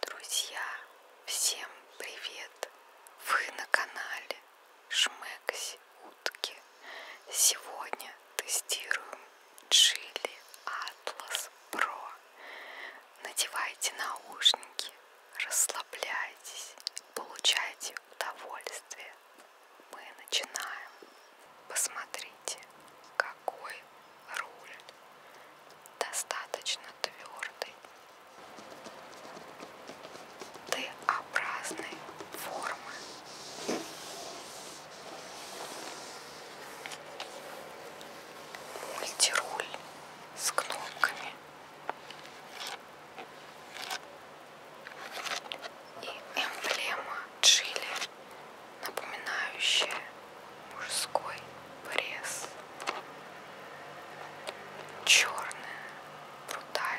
Друзья, всем привет! Вы на канале Шмекси Утки. Сегодня тестируем Chili Atlas Pro. Надевайте наушники, расслабляйтесь, получайте удовольствие. Мы начинаем. Посмотрите, какой руль достаточно твердый, Т-образной формы. Мультируль с кнопками и эмблема Чили напоминающее мужской пресс. Черное, брутальное.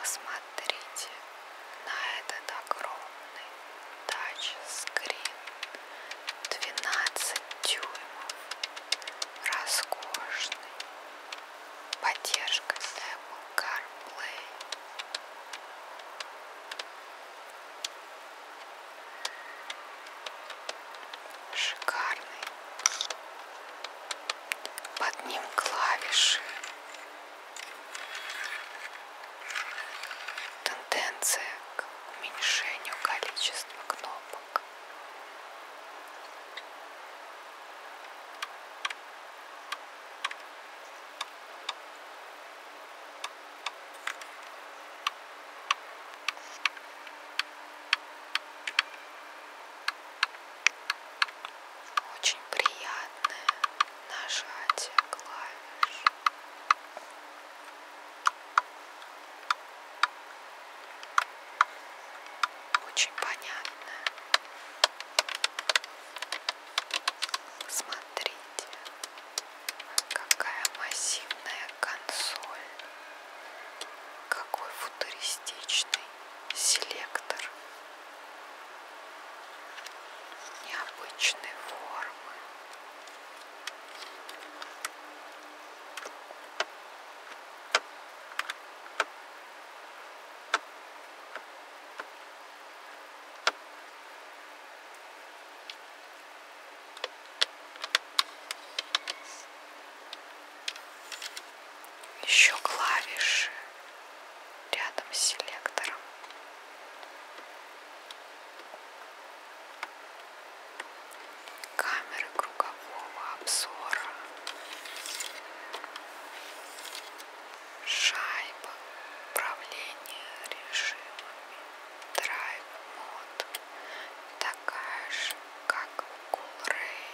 Посмотрите на этот огромный тачскрин 12 дюймов роскошный. Поддержка Apple CarPlay. Шикарный. Под ним клавиши. Тенденция к уменьшению количества кнопок бок. Очень приятное нажатие клавиш. Очень понятно. Смотрите, какая массивная консоль, какой футуристичный селектор необычной формы еще клавиши рядом с селектором камеры кругового обзора, шайба, управление режимами, драйв мод, такая же, как у Гулрей.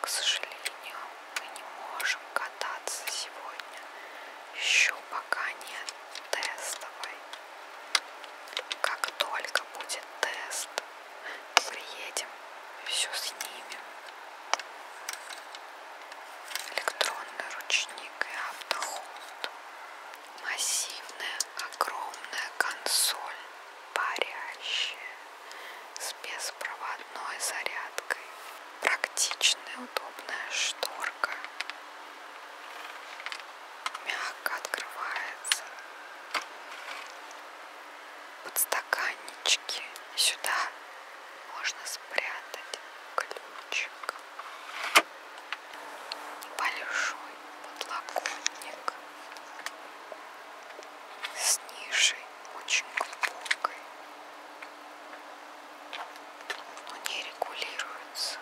К сожалению, мы не можем кататься сегодня, еще пока нет тестовой как только будет тест, приедем, все снимем. Электронный ручник и автоход. Массивная, огромная консоль, парящая, с беспроводной зарядкой. Практичная, удобная шторка мягко открывается. Подстаканнички сюда можно спрятать ключик. Большой подлокотник с нишей очень глубокой не регулируется.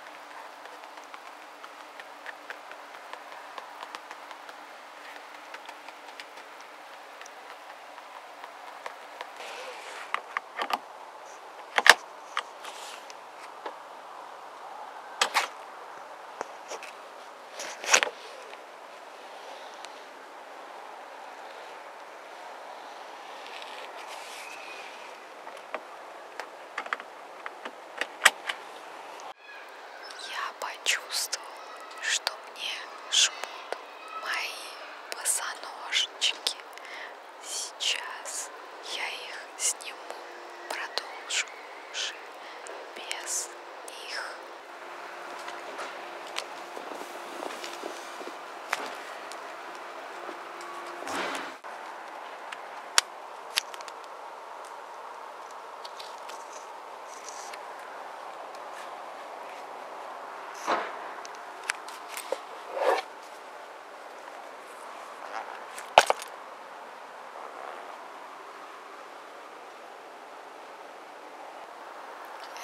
Я почувствовал, что мне жмут мои босоножнички. Сейчас я их сниму, продолжу уже без них.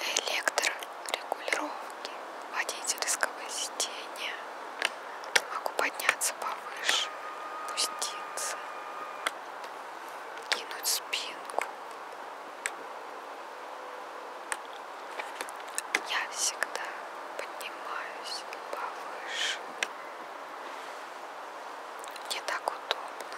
Электро регулировки, водительского сидения. Могу подняться повыше, пуститься, кинуть спинку. Я всегда поднимаюсь повыше. Мне так удобно.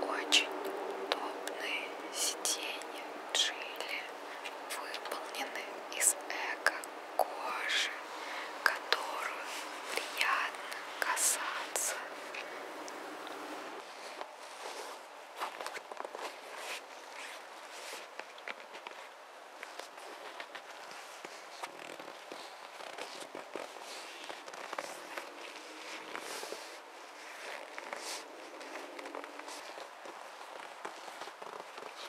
Очень удобные сиденья в Джили выполнены из эко кожи, которую приятно касаться.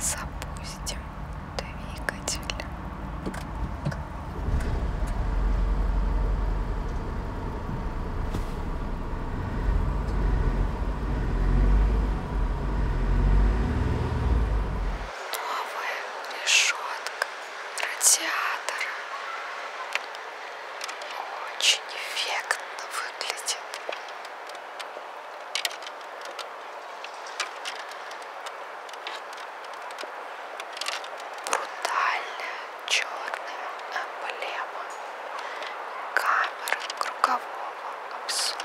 Запустим двигатель. Новая решетка радиатор очень эффектно выглядит. Брутальная черная эмблема камеры кругового обзора.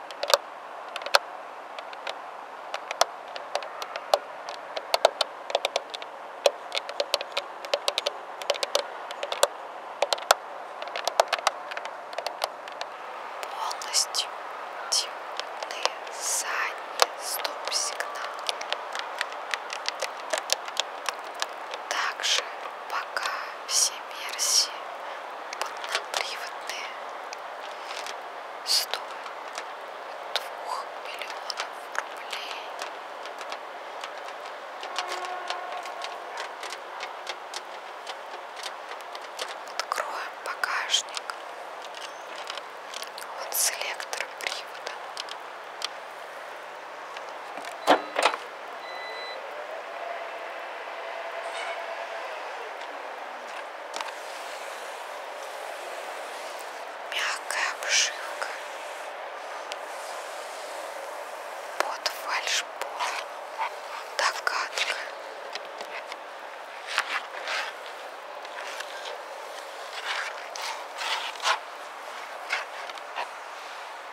полностью темны задние стоп-сигналы. Также пока все версии поднаприводные стоят 2 миллионов рублей. Откроем багажник. Вот селектор привода. Мягкая обшивка под фальшбор. Догадка.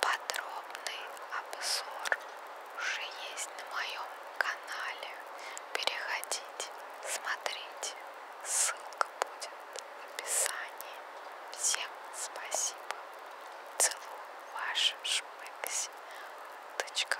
Подробный обзор уже есть на моем канале. Переходите, смотрите. Ссылка будет в описании. Всем спасибо. Целую вашу шмекси. Точка.